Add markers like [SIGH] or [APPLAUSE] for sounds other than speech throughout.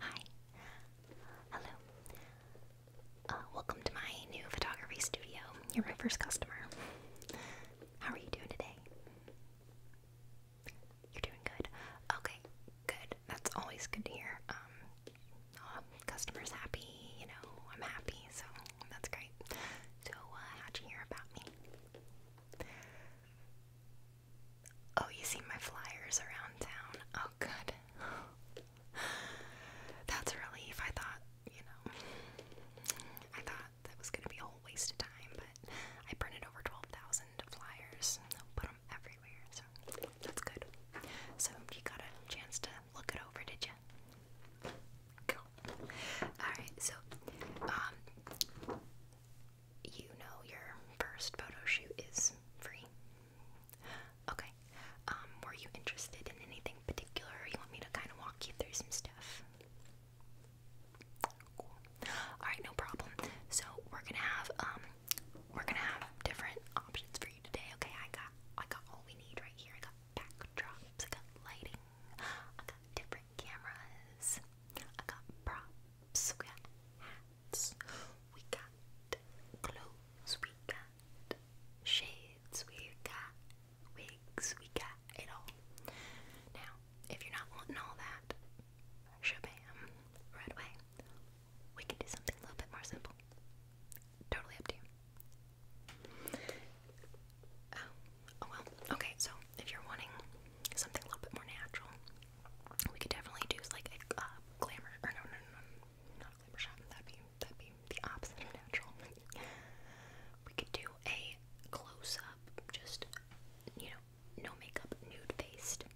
Hi. Hello. Uh, welcome to my new photography studio. You're my first customer. How are you doing today? You're doing good. Okay, good. That's always good to hear. Um, uh, customers happy. You know, I'm happy, so that's great. So, uh, how'd you hear about me? Oh, you see my flyers around town. Oh, good. [LAUGHS] That's a relief. I thought, you know, I thought that was going to be a whole waste of time, but I printed over 12,000 flyers put them everywhere, so that's good. So, you got a chance to look it over, did you? Cool. Alright, so, um, you know your first photo shoot is free. Okay. Um, were you interested in anything particular? You want me to kind of walk you through some stuff? Cool. Alright, no problem. So we're gonna have um we're gonna have different options for you today. Okay, I got I got all we need right here. I got backdrops, I got lighting, I got different cameras, I got props caps, we hats, we clothes, we got shades, we got wigs, we got it all. Now, if you're not wanting all that, shabam, right away, we can do something a little bit more simple. Totally up to you. Oh, Oh well, okay, so if you're wanting something a little bit more natural, we could definitely do like a uh, glamour, or no, no, no, not a glamour shot, that'd be, that'd be the opposite of natural. [LAUGHS] we could do a close-up, just, you know, no makeup, nude-faced,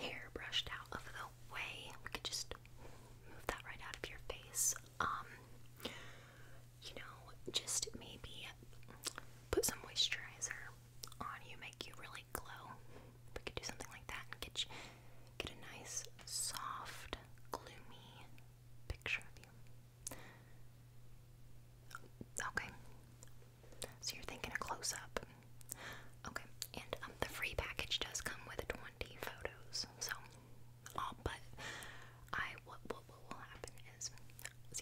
hair brushed out of the way, we could just move that right out of your face, um, you know, just maybe put some moisturizer on you, make you really glow. We could do something like that and get you, get a nice, soft, gloomy picture of you. Okay. So you're thinking a close up. Okay. And um, the free package does come with 20 photos. So, all but I what will happen is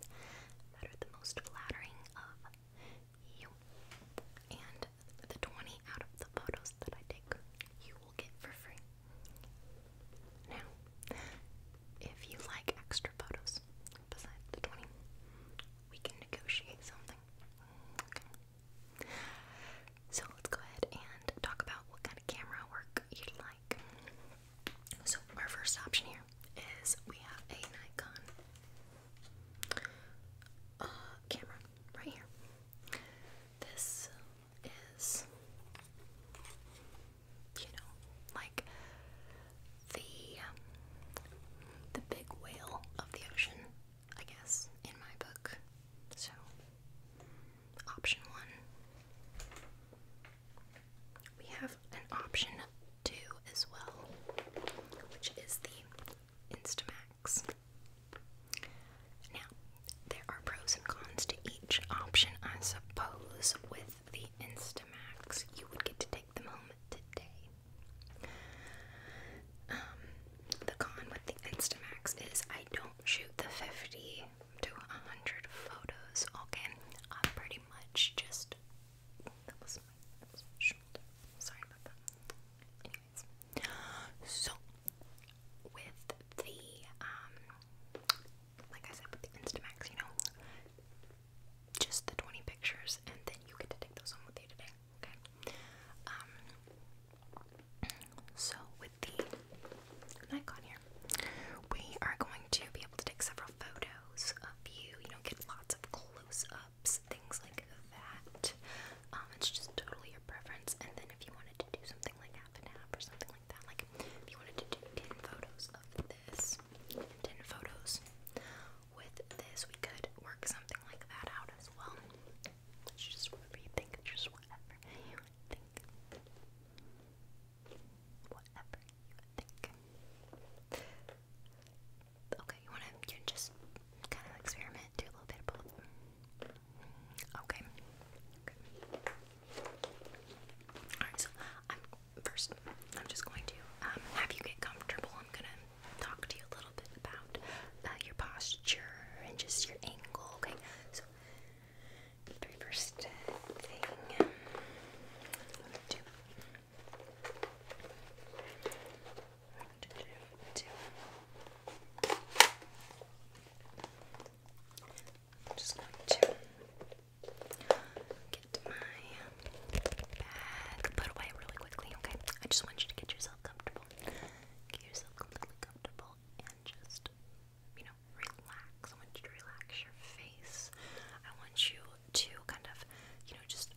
that are the most flattering of you. And the 20 out of the photos that I take, you will get for free. Now, if you like extra photos besides the 20, we can negotiate something. Okay. So let's go ahead and talk about what kind of camera work you'd like. So our first option here is we have a Nikon uh, camera right here. This is, you know, like the um, the big whale of the ocean, I guess, in my book. So, option one we have an option too as well, which is the Instamax. Now, there are pros and cons to each option, I suppose. With the Instamax, you would get to take them home today. Um, the con with the Instamax is I don't shoot the 50 to a hundred photos, okay? I'm pretty much just Sorry about that. Anyways. So with the um like I said with the Instamax, you know, just the 20 pictures and then you get to take those home with you today, okay? Um so with the Nikon here. We are going to be able to take several photos of you, you know, get lots of close ups, things like that. Um, it's just totally your preference. And then if you wanted to do something like half and half or something like that, like if you wanted to do 10 photos of this, 10 photos with this, we could work something like that out as well. It's just whatever just whatever you think. Okay, you wanna you just kind of experiment, do a little bit of both. Okay. Alright, so I'm first I'm just going to um, have you get comfortable. I'm gonna talk to you a little bit about uh, your posture and just your angle. Okay, first thing. Two. Two. I'm just going to get my bag put away really quickly, okay? I just want you to get yourself comfortable. Get yourself comfortable and just you know, relax. I want you to relax your face. I want you to kind of, you know, just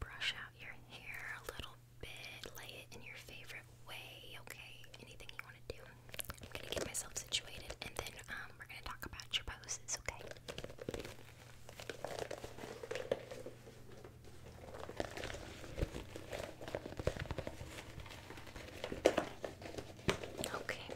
brush out your hair a little bit, lay it in your favorite way, okay? Anything you want to do. I'm gonna get myself situated and then um, we're gonna talk about your poses, okay? Okay,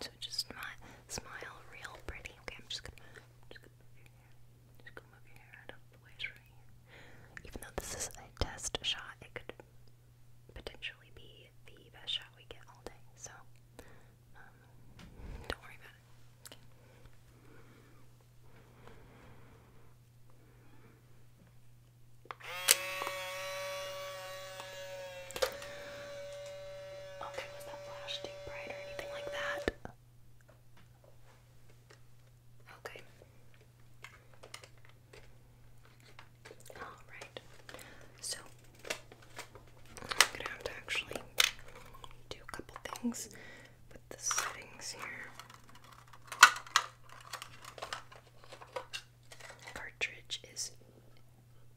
So just smile, smile real pretty. Okay, I'm just gonna, just gonna move your hair. Just gonna move your hair out of the way right here. Even though this is a test shot, it could potentially be the best shot we get all day. So um, don't worry about it. Okay. Okay, Okay, was that flash too bright or anything like that? Okay. Alright. So I'm gonna have to actually do a couple things with the settings here cartridge is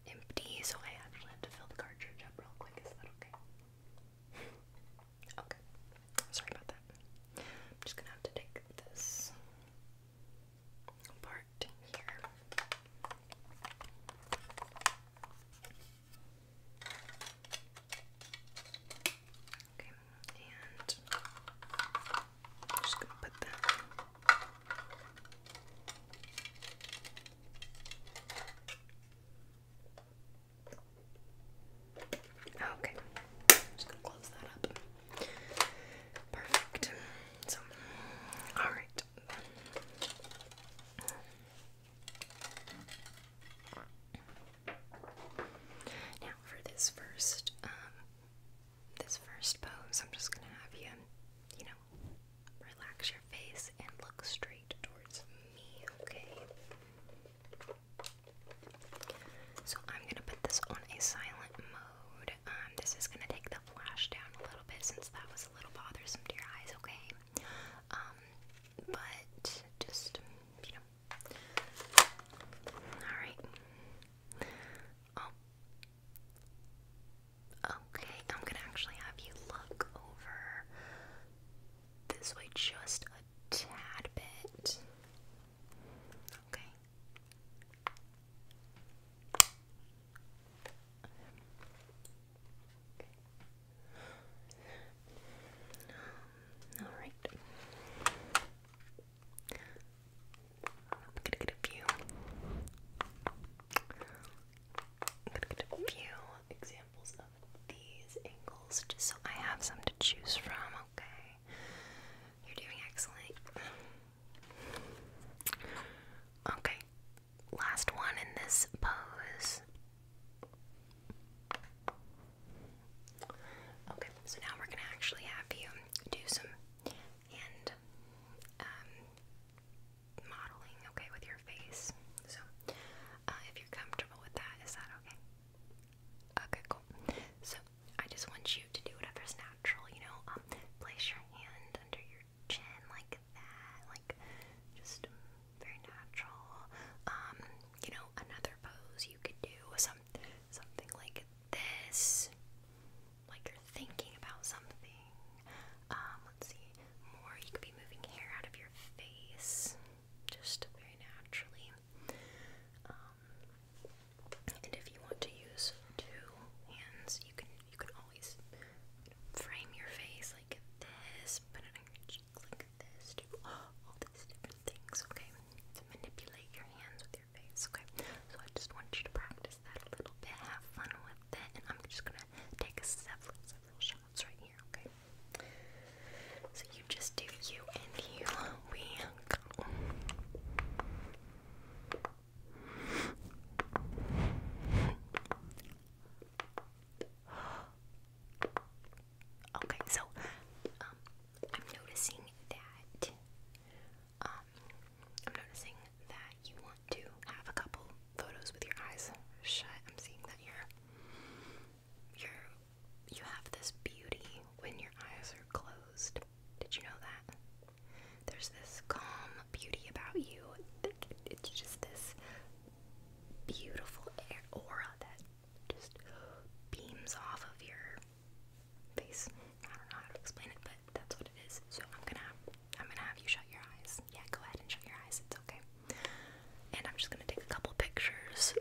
empty, so I actually have to fill the cartridge up real quick. Is that okay? [LAUGHS] okay. Sorry about that. I'm just gonna have to take this part here. Okay, and I'm just gonna put that. Okay, just gonna close that up. Perfect. So, all right. Now for this first um, this first pose, I'm just gonna have you, you know, relax your face and look straight towards me, okay? So I'm gonna put this on a silent mode. Um, this is gonna take the flash down a little bit since that was a little bothersome to your eyes, okay? Um, but just you know. Alright. Oh, Okay, I'm gonna actually have you look over this way just a tad bit. Okay. Um, all right. I'm gonna get a few. I'm gonna get a few examples of these angles just so I have some to choose from, okay? You're doing excellent. Okay, last one in this pose. Okay, so now we're gonna actually have you do some and um, modeling, okay, with your face. So, uh, if you're comfortable with that, is that okay? Okay, cool. So, I just want you to do whatever's natural, you know, um, place your hand under your chin like that, like just um, very natural. Um, you know, another pose you could do, some, something like this like you're thinking about something. Um, let's see, more you could be moving hair out of your face, just very naturally. Um, and if you want to use two hands, you can you can always you know, frame your face like this, put it on your cheek like this, do all these different things. Okay, to manipulate your hands with okay? So I just want you to practice that a little bit, have fun with it, and I'm just gonna take a several, several shots right here, okay? So you just do you and you, we go. [GASPS] Okay, so um, I'm noticing that um, I'm noticing that you want to have a couple photos with your eyes shut. I'm seeing that you're you're you have this beauty when your eyes are closed. Did you know that? There's this calm beauty about you. It's just this beautiful aura that just beams off of your face. I don't know how to explain it, but that's what it is. So I'm gonna I'm gonna have you shut your eyes. Yeah, go ahead and shut your eyes. It's okay. And I'm just gonna take a couple pictures.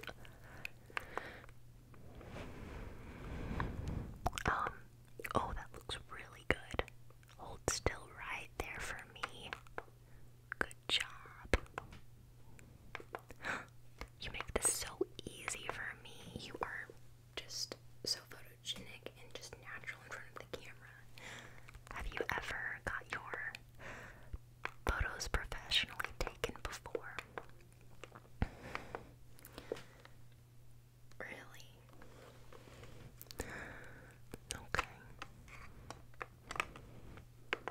Um. Oh, that looks really good. Hold still right there for me. Good job. [GASPS] You make this so easy for me. You are just so photogenic and just natural in front of the camera. Have you ever got your photos professionally taken before? Really? Okay.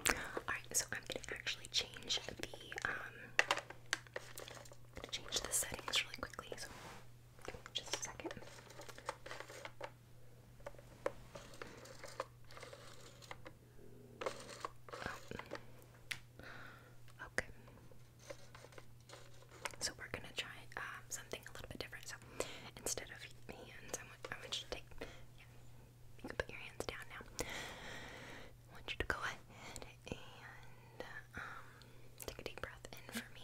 Alright, so I'm gonna actually change the um I'm gonna change the settings really quickly, so just a second. Oh. Okay. So we're gonna try um, something a little bit different. So instead of hands, I am going to take. you can put your hands down now. I want you to go ahead and um, take a deep breath in for me.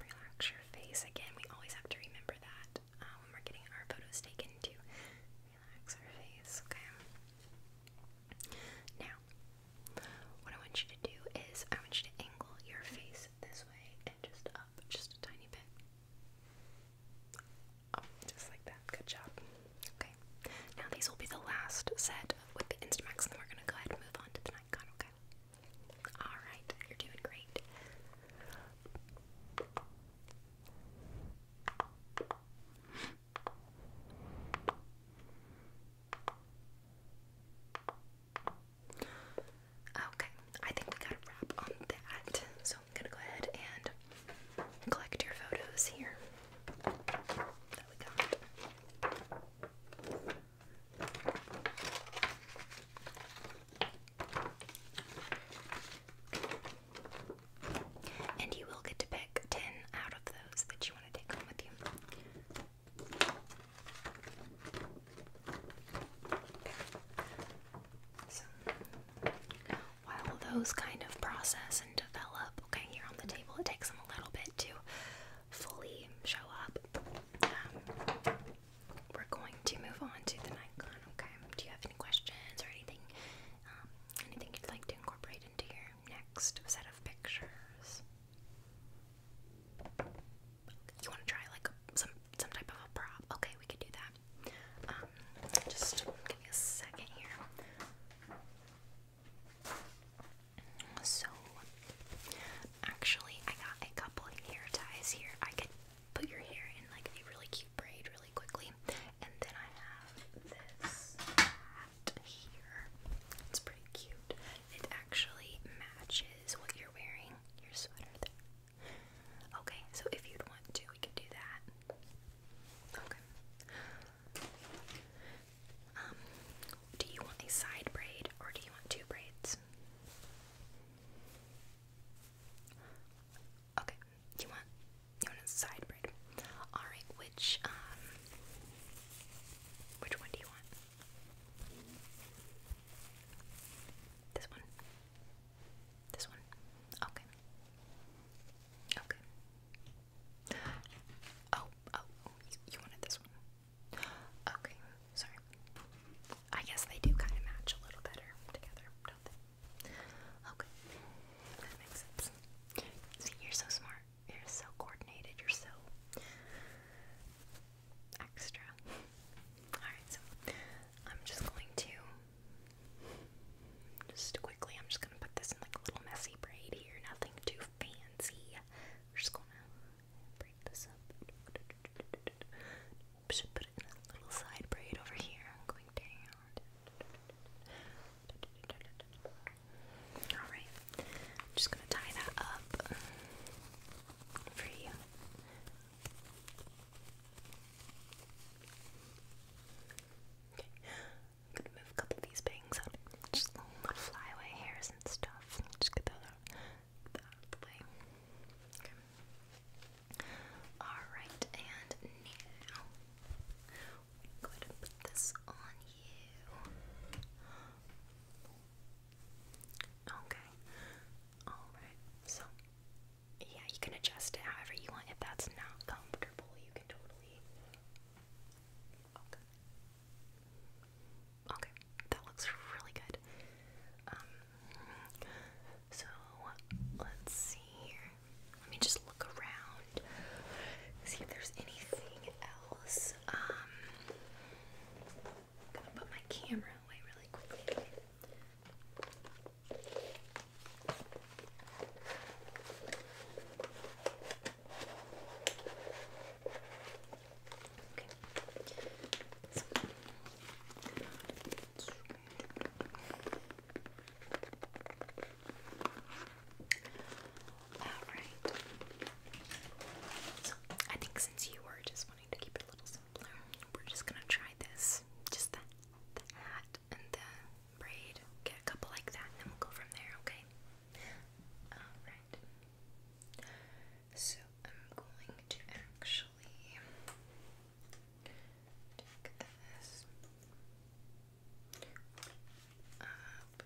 Relax your face. Again, we always have to remember that uh, when we're getting our photos taken to relax our face, okay? Now, what I want you to do is I want you to angle your face this way and just up just a tiny bit. Oh, just like that. Good job. Okay. Now these will be the last set with the Instamax, and then we're gonna go ahead and move on to the Nikon. Okay. All right. You're doing great. Okay, I think we got a wrap on that. So I'm gonna go ahead and Collect your photos here. And you will get to pick 10 out of those that you want to take home with you while those kind of process and develop. Okay, here on the table, it takes them a little bit to fully show up. Um, we're going to move on to the Nikon. Okay, do you have any questions or anything? Um, anything you'd like to incorporate into your next set of pictures? You want to try like some some type of a prop? Okay, we could do that. Um, just give me a second here. So, actually, I got a couple hair ties here. I could put your hair in like a really cute braid really quickly. And then I have this hat here. It's pretty cute. It actually matches what you're wearing, your sweater. Okay, so if you'd want to, we could do that. Okay. Um, do you want a side braid or do you want two braids? Okay, you want you want a side braid. All right, which um, which one do you want? This one. This one. Okay. Okay. Oh, oh, you, wanted this one. Okay, sorry. I guess they do kind of match a little better together, Okay, that makes sense. See, you're so smart. You're so coordinated. You're so extra. [LAUGHS] Alright, so I'm just going to just quickly, I'm just gonna put this in like a little messy braid here, nothing too fancy. just gonna break this up. Should put in a little side braid over here. I'm going down. Alright. I'm just gonna tie that up for you. Okay. I'm gonna move a couple of these bangs out. Just little flyaway hairs and stuff. Just get that out of the way. Okay. Alright, and now go ahead and put this on you. Okay. Alright, so yeah, you can adjust it however you want. If that's not comfortable, you can totally. Okay. that looks really good. Um, so let's see here. Let me just look around, see if there's anything else. Um, gonna put my camera away really quickly. Alright. I think since you were just wanting to keep it a little simpler, we're just gonna try this. Just that left and the braid. Get a couple like that, and then we'll go from there, okay? Alright. So I'm going to actually take this up.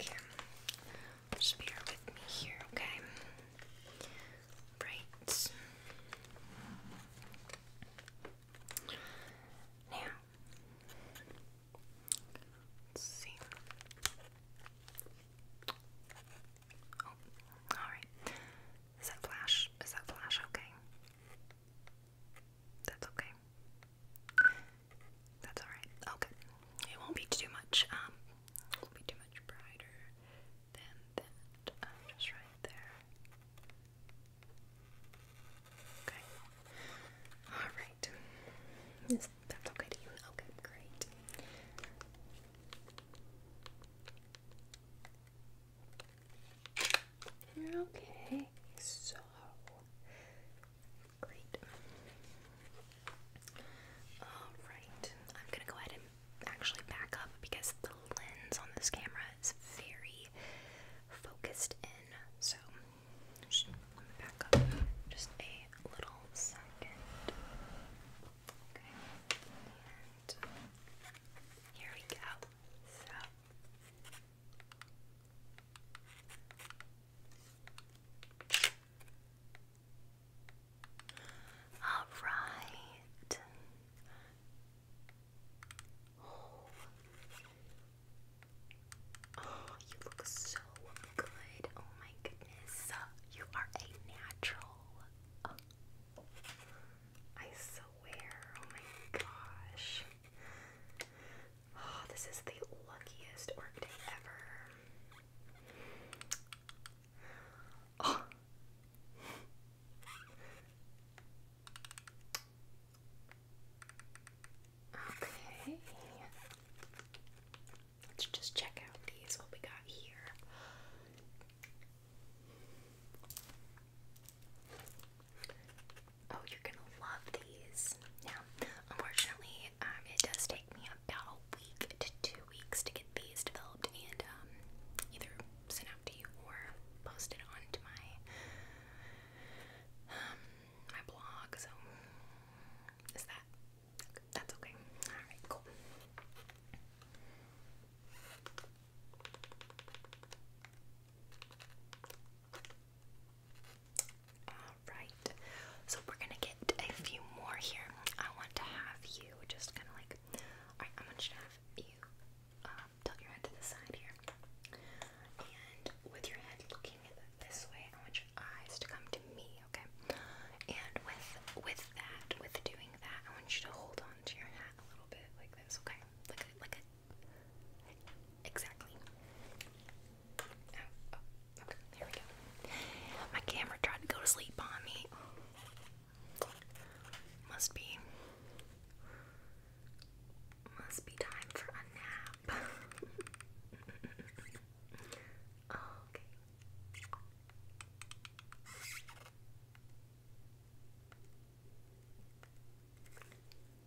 Okay. Just bear with me here, okay? Right. Now, let's see. Oh, alright. Is that flash? Is that flash okay? That's okay. That's alright. Okay. Oh, it won't be too much. Um, will be too much brighter than that. Um, just right there. Okay. Alright. that's okay to you. Okay, Okay, so great. All right, I'm gonna go ahead and actually back up because the lens on this camera is very focused in. So, just back up just a little second. Okay, here we go. So. All right. Oh. you look so good. Oh my goodness. You are a natural. I swear. Oh my gosh. Oh, this is the luckiest work ever. Oh. Okay. Let's just check out these, what we got here. Oh, you're gonna love these. Now, unfortunately, um, it does take me about a week to two weeks to get these developed and um, either sent out to you or posted onto my um, my blog. So is that that's okay? All right, cool. All right right. So we're gonna get a few more here. I want to have you just kind of like, all right. I want you to have you um, tilt your head to the side here, and with your head looking this way, I want your eyes to come to me, okay? And with with that, with doing that, I want you to hold on to your hat a little bit like this, okay? Like a, like a exactly. Oh, oh, Okay, there we go. My camera tried to go to sleep on me. Must be. Must be time for a nap. [LAUGHS] okay.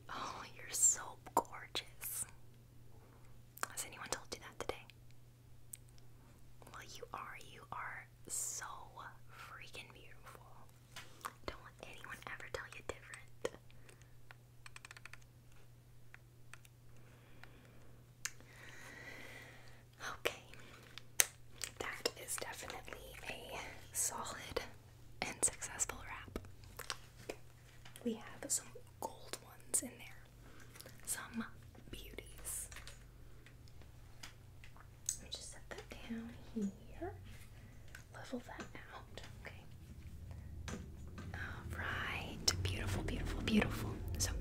Oh, you're so gorgeous. Has anyone told you that today? Well, you are. You are so freaking beautiful. Don't let anyone ever tell you different. Okay, that is definitely a solid and successful wrap. We have some gold ones in there some beauties. Let me just set that down here. Level that out. Okay. Alright. Beautiful, beautiful, beautiful. So,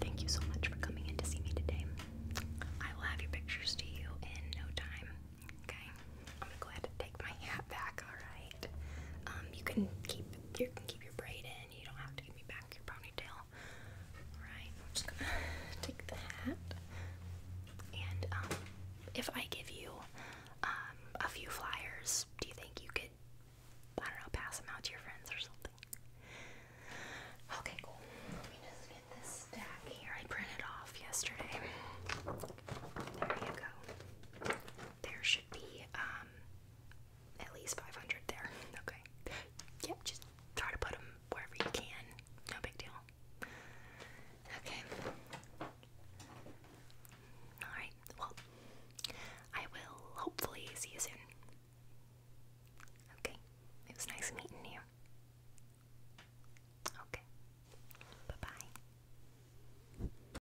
thank you so much for coming in to see me today. I will have your pictures to you in no time. Okay. I'm gonna go ahead and take my hat back, alright? Um, you can keep you can keep your braid in. You don't have to give me back your ponytail. Alright, I'm just gonna [SIGHS] take the hat. And um, if I give you um, a few flyers, do you think you could, I don't know, pass them out to your friends or something? Okay, cool. Let me just get this stack here. I printed off yesterday. There you go. There should be um, at least 500 there. Okay. Yep, just try to put them wherever you can. No big deal. Okay. Alright, well, I will hopefully see you soon. Okay, it was nice meeting you. Okay, bye bye.